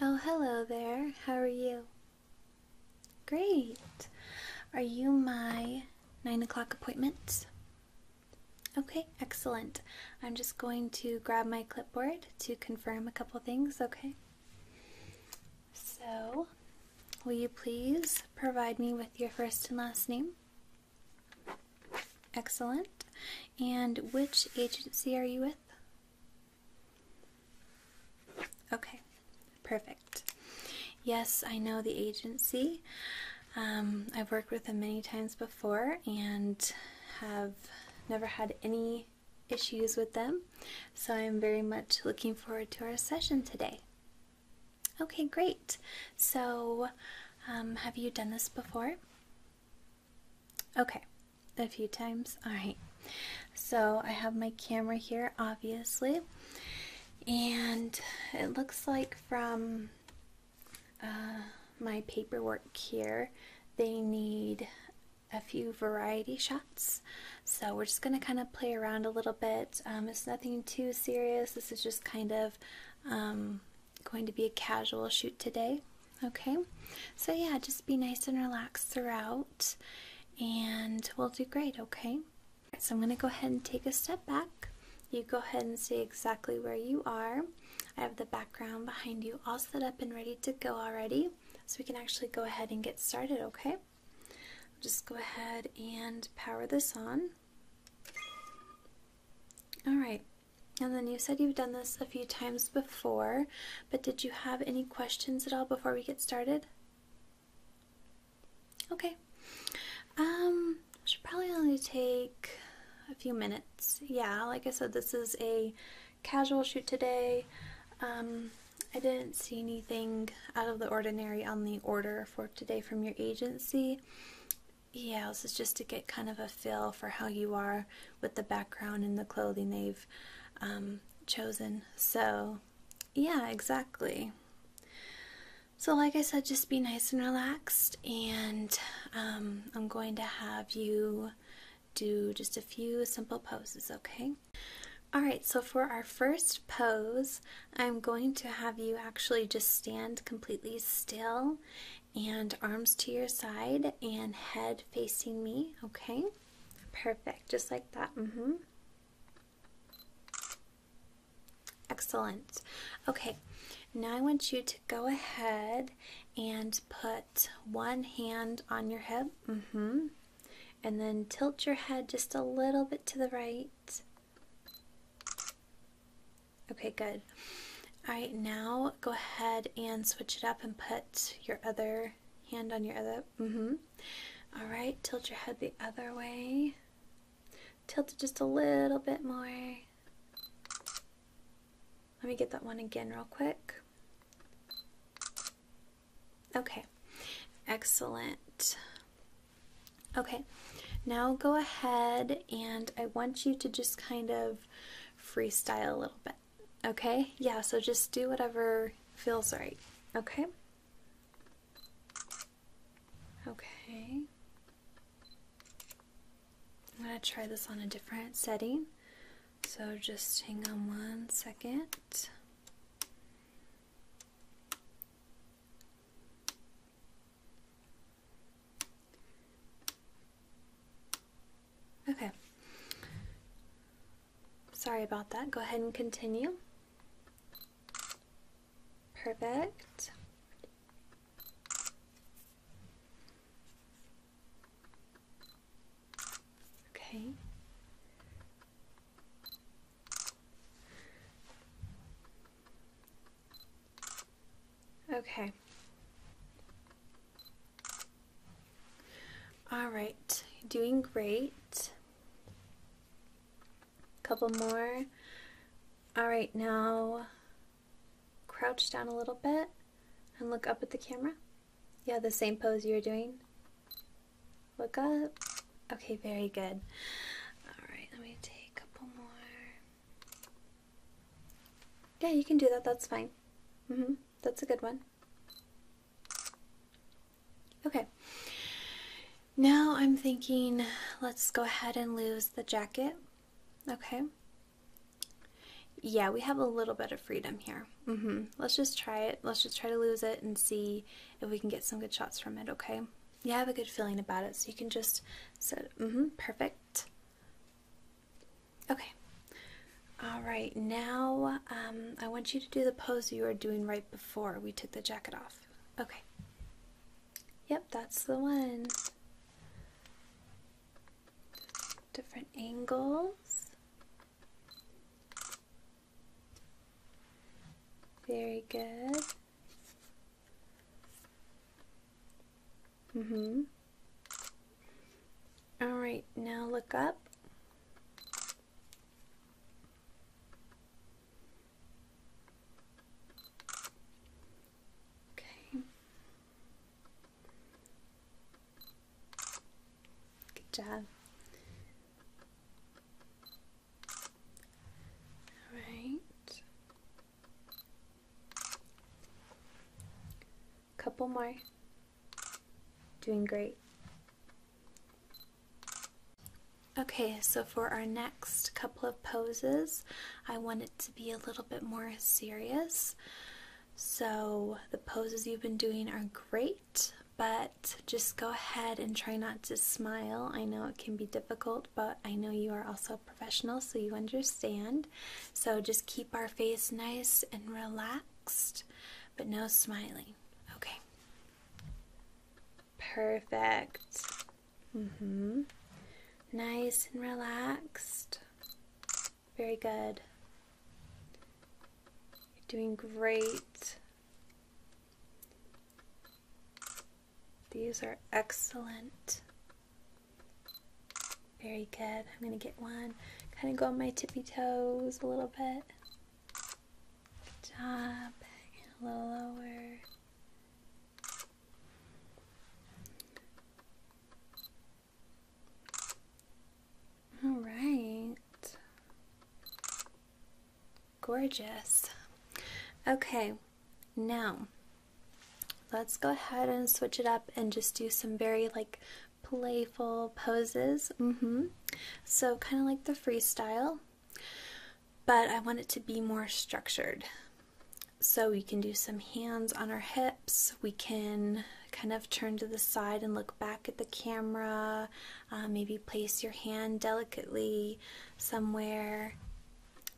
Oh, hello there. How are you? Great. Are you my nine o'clock appointment? Okay, excellent. I'm just going to grab my clipboard to confirm a couple things, okay? So, will you please provide me with your first and last name? Excellent. And which agency are you with? Okay, Perfect. Yes, I know the agency. Um, I've worked with them many times before and have never had any issues with them. So I'm very much looking forward to our session today. Okay, great. So, um, have you done this before? Okay, a few times. All right. So, I have my camera here, obviously. And it looks like from uh, my paperwork here, they need a few variety shots. So we're just going to kind of play around a little bit. Um, it's nothing too serious. This is just kind of um, going to be a casual shoot today. Okay, so yeah, just be nice and relaxed throughout, and we'll do great, okay? So I'm going to go ahead and take a step back. You go ahead and see exactly where you are. I have the background behind you all set up and ready to go already. So we can actually go ahead and get started, okay? just go ahead and power this on. Alright, and then you said you've done this a few times before, but did you have any questions at all before we get started? Okay. Um, should probably only take a few minutes. Yeah, like I said, this is a casual shoot today. Um, I didn't see anything out of the ordinary on the order for today from your agency. Yeah, this is just to get kind of a feel for how you are with the background and the clothing they've um, chosen. So, yeah, exactly. So, like I said, just be nice and relaxed, and um, I'm going to have you do just a few simple poses, okay? Alright, so for our first pose, I'm going to have you actually just stand completely still and arms to your side and head facing me, okay? Perfect, just like that. Mm hmm. Excellent. Okay, now I want you to go ahead and put one hand on your hip. Mm-hmm, and then tilt your head just a little bit to the right. Okay, good. All right, now go ahead and switch it up and put your other hand on your other Mm-hmm. Alright, tilt your head the other way. Tilt it just a little bit more. Let me get that one again real quick. Okay, excellent. Okay, now go ahead and I want you to just kind of freestyle a little bit. Okay? Yeah, so just do whatever feels right. Okay? Okay. I'm going to try this on a different setting. So just hang on one second. Okay. Sorry about that. Go ahead and continue. Perfect. Okay. Okay. All right, doing great. Couple more. All right, now crouch down a little bit and look up at the camera. Yeah, the same pose you are doing. Look up. Okay, very good. All right, let me take a couple more. Yeah, you can do that. That's fine. Mm-hmm. That's a good one. Okay. Now I'm thinking let's go ahead and lose the jacket. Okay. Yeah, we have a little bit of freedom here. Mm-hmm. Let's just try it. Let's just try to lose it and see if we can get some good shots from it, okay? Yeah, I have a good feeling about it, so you can just sit. Mm -hmm, perfect. Okay. All right, now um, I want you to do the pose you were doing right before we took the jacket off. Okay. Yep, that's the one. Different angles. Very good. Mm-hmm. All right, now look up. Okay. Good job. All right. Couple more. Doing great. Okay, so for our next couple of poses, I want it to be a little bit more serious. So the poses you've been doing are great, but just go ahead and try not to smile. I know it can be difficult, but I know you are also a professional, so you understand. So just keep our face nice and relaxed but no smiling. Okay. Perfect. mm Mhm. Nice and relaxed. Very good. You're doing great. These are excellent. Very good. I'm going to get one Kind of go on my tippy toes a little bit. Good job. A little lower. All right. Gorgeous. Okay, now let's go ahead and switch it up and just do some very like playful poses. Mm-hmm. So, kind of like the freestyle, but I want it to be more structured. So, we can do some hands on our hips, we can kind of turn to the side and look back at the camera, uh, maybe place your hand delicately somewhere.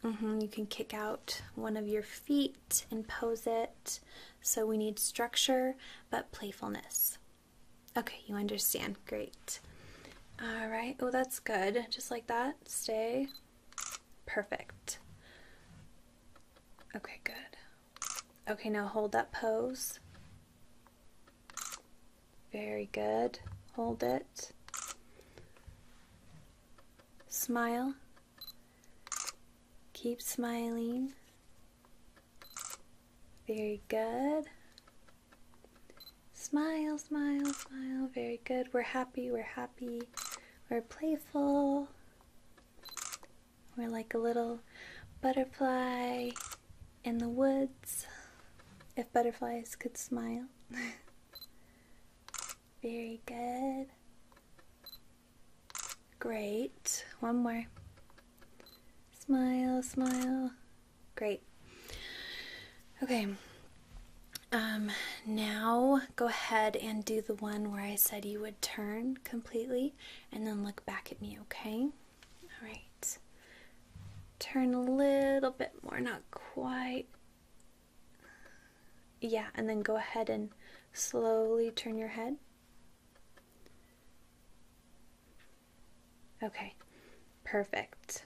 Mm-hmm. You can kick out one of your feet and pose it. So we need structure but playfulness. Okay, you understand. Great. All right. Oh, that's good. Just like that. Stay. Perfect. Okay, good. Okay, now hold that pose. Very good. Hold it. Smile. Keep smiling. Very good. Smile, smile, smile. Very good. We're happy, we're happy. We're playful. We're like a little butterfly in the woods. If butterflies could smile. Very good. Great. One more. Smile, smile. Great. Okay. Um, now go ahead and do the one where I said you would turn completely and then look back at me, okay? All right. Turn a little bit more, not quite. Yeah, and then go ahead and slowly turn your head. Okay, perfect.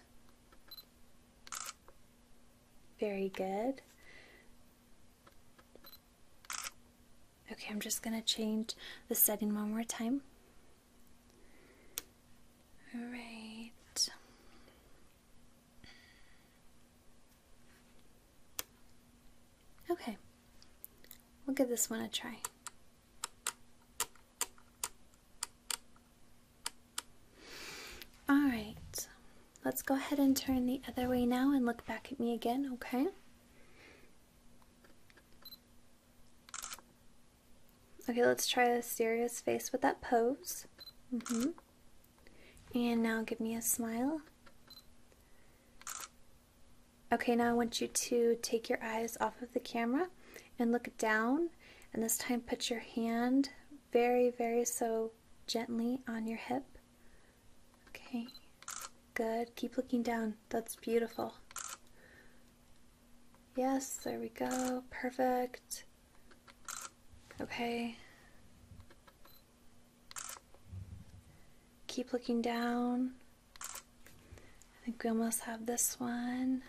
Very good. Okay, I'm just going to change the setting one more time. All right. Okay, we'll give this one a try. Alright, let's go ahead and turn the other way now and look back at me again, okay? Okay, let's try a serious face with that pose. Mm hmm And now give me a smile. Okay, now I want you to take your eyes off of the camera and look down. And this time put your hand very, very so gently on your hip. Okay, good. Keep looking down. That's beautiful. Yes, there we go. Perfect. Okay. Keep looking down. I think we almost have this one.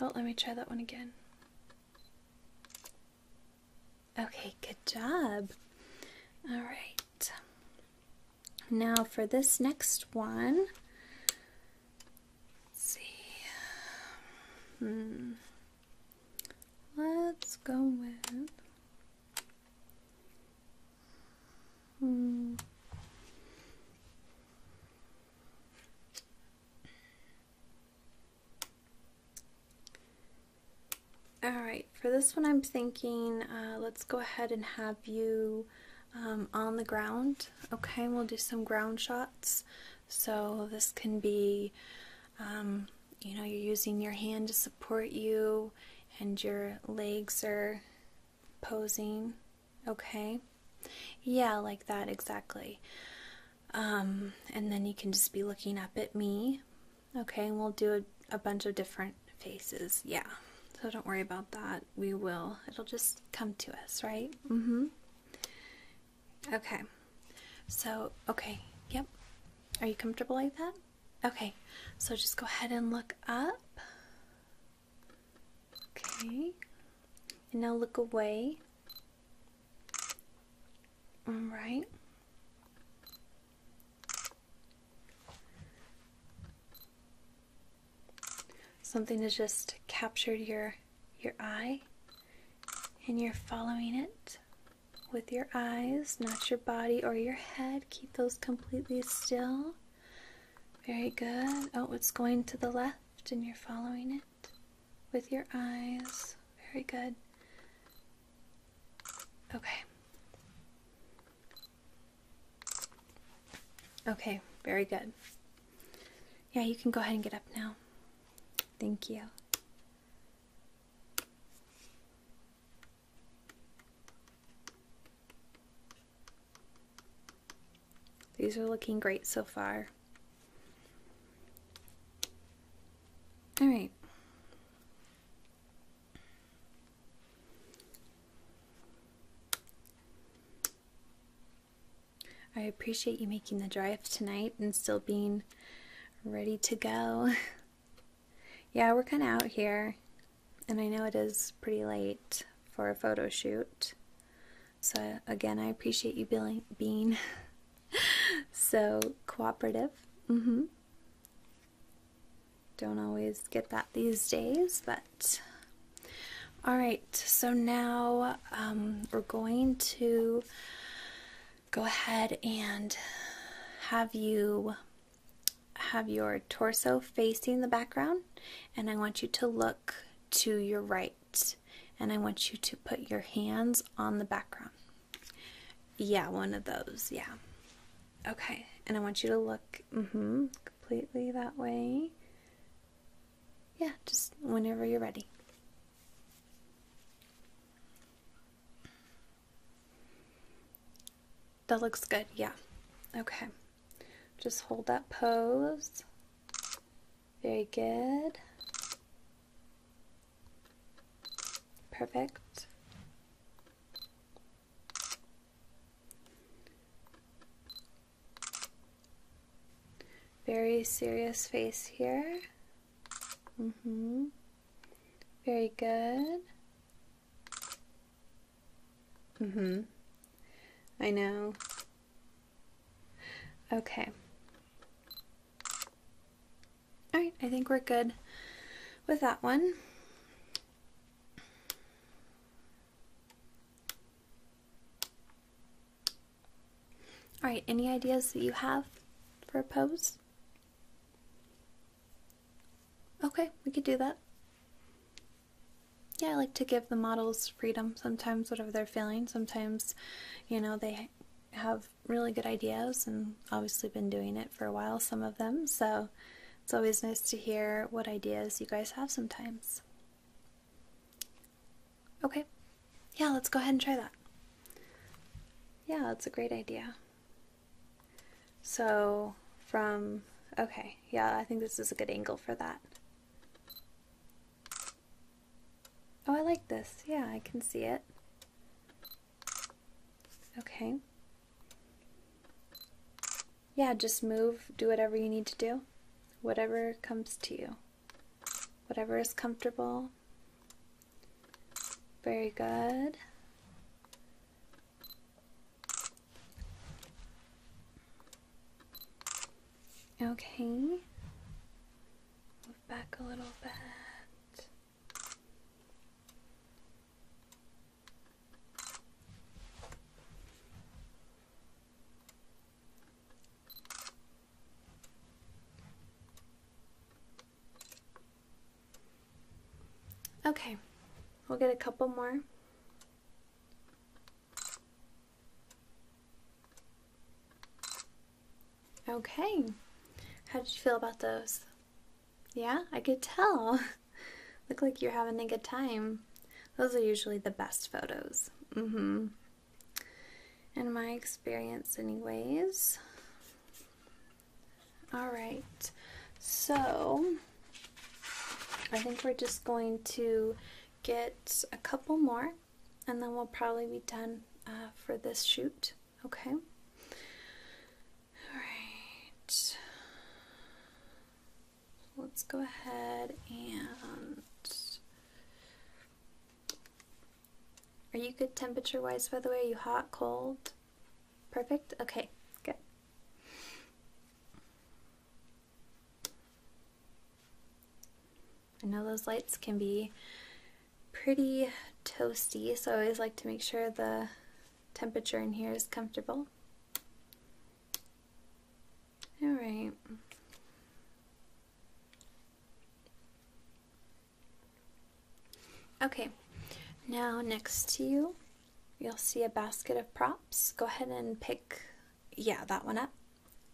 Oh, let me try that one again. Okay, good job. All right. Now for this next one. Let's see. Hmm. Let's go with. Hmm. All right, for this one, I'm thinking uh, let's go ahead and have you um, on the ground. Okay, we'll do some ground shots. So this can be um, you know, you're using your hand to support you, and your legs are posing. Okay? Yeah, like that, exactly. Um, and then you can just be looking up at me. Okay? And we'll do a, a bunch of different faces. Yeah. So don't worry about that. We will. It'll just come to us, right? Mm hmm. Okay. So, okay. Yep. Are you comfortable like that? Okay. So just go ahead and look up. Okay. And now look away. All right. Something has just captured your your eye and you're following it with your eyes, not your body or your head. Keep those completely still. Very good. Oh, it's going to the left and you're following it with your eyes. Very good. Okay. Okay, very good. Yeah, you can go ahead and get up now. Thank you. These are looking great so far. All right. I appreciate you making the drive tonight and still being ready to go. yeah, we're kind of out here, and I know it is pretty late for a photo shoot. So, again, I appreciate you being, being so cooperative. Mm -hmm. Don't always get that these days, but all right, so now um, we're going to go ahead and have you have your torso facing the background and I want you to look to your right and I want you to put your hands on the background. Yeah, one of those. Yeah. Okay. And I want you to look mm-hmm, completely that way. Yeah, just whenever you're ready. That looks good, yeah. Okay. Just hold that pose. Very good. Perfect. Very serious face here. Mm-hmm. Very good. Mm-hmm. I know. Okay. All right, I think we're good with that one. All right, any ideas that you have for a pose? Okay, we could do that. Yeah, I like to give the models freedom sometimes, whatever they're feeling. Sometimes, you know, they have really good ideas and obviously been doing it for a while, some of them. So it's always nice to hear what ideas you guys have sometimes. Okay. Yeah, let's go ahead and try that. Yeah, that's a great idea. So, from. Okay, yeah, I think this is a good angle for that. Oh, I like this. Yeah, I can see it. Okay. Yeah, just move, do whatever you need to do, whatever comes to you whatever is comfortable. Very good. Okay. Move back a little bit. Okay, we'll get a couple more. Okay, how did you feel about those? Yeah, I could tell. Look like you're having a good time. Those are usually the best photos. Mm hmm in my experience, anyways. All right, so I think we're just going to get a couple more and then we'll probably be done uh, for this shoot, okay? All right, let's go ahead and are you good temperature wise, by the way? Are you hot, cold? Perfect? Okay, good. I know those lights can be pretty toasty, so I always like to make sure the temperature in here is comfortable. Alright. Okay, now next to you, you'll see a basket of props. Go ahead and pick, yeah, that one up.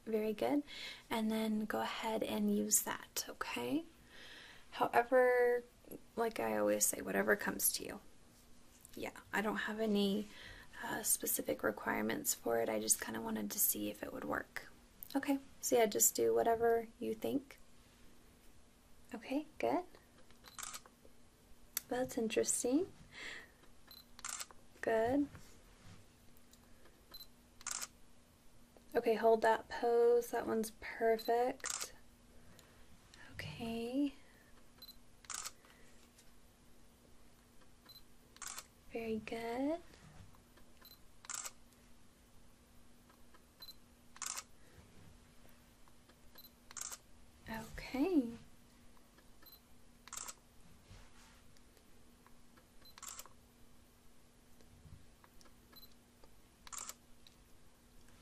Very good. And then go ahead and use that, okay? However, like I always say, whatever comes to you. Yeah, I don't have any uh, specific requirements for it. I just kind of wanted to see if it would work. Okay, so yeah, just do whatever you think. Okay, good. That's interesting. Good. Okay, hold that pose. That one's perfect. Okay. Very good. Okay.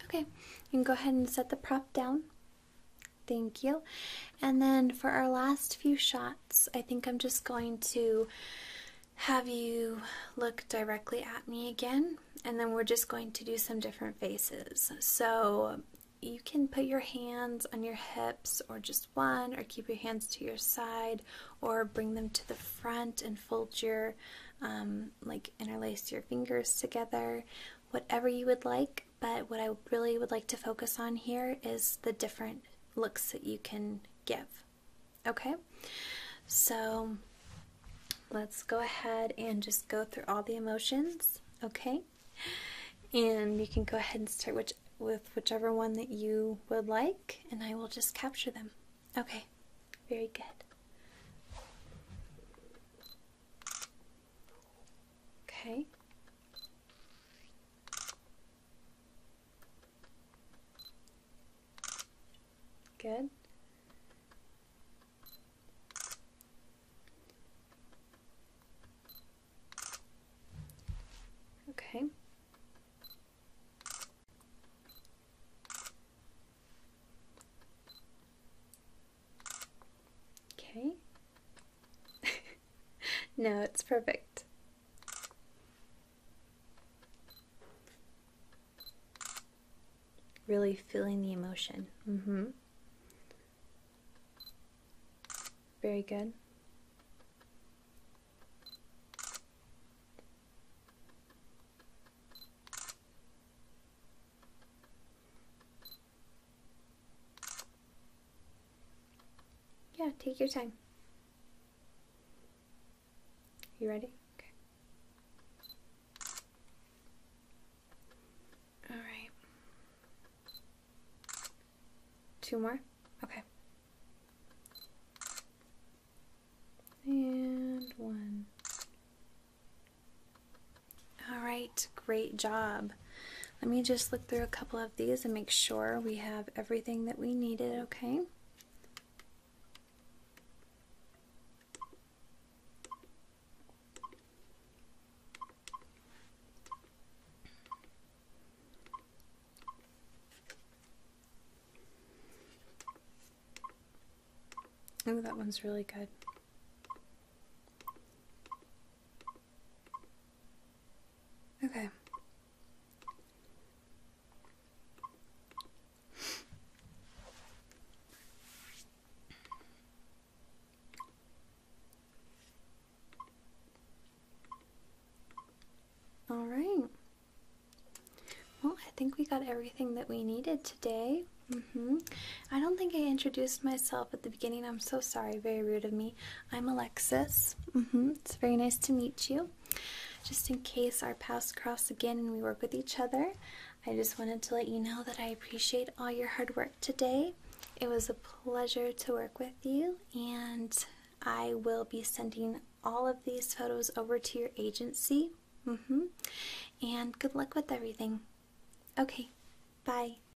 Okay, you can go ahead and set the prop down. Thank you. And then for our last few shots, I think I'm just going to have you look directly at me again, and then we're just going to do some different faces. So you can put your hands on your hips or just one, or keep your hands to your side, or bring them to the front and fold your, um, like interlace your fingers together, whatever you would like. But what I really would like to focus on here is the different looks that you can give. Okay, so let's go ahead and just go through all the emotions. Okay, and you can go ahead and start with whichever one that you would like, and I will just capture them. Okay, very good. Okay. Good. Okay. Okay. no, it's perfect. Really feeling the emotion. Mm hmm. Very good. Yeah, take your time. You ready? Okay. All right. Two more? Okay. And one. All right, great job. Let me just look through a couple of these and make sure we have everything that we needed, okay? Oh, that one's really good. Okay. All right. Well, I think we got everything that we needed today. Mm hmm I don't think I introduced myself at the beginning. I'm so sorry. Very rude of me. I'm Alexis. Mm-hmm. It's very nice to meet you. Just in case our paths cross again and we work with each other, I just wanted to let you know that I appreciate all your hard work today. It was a pleasure to work with you, and I will be sending all of these photos over to your agency. Mm-hmm. And good luck with everything. Okay, bye.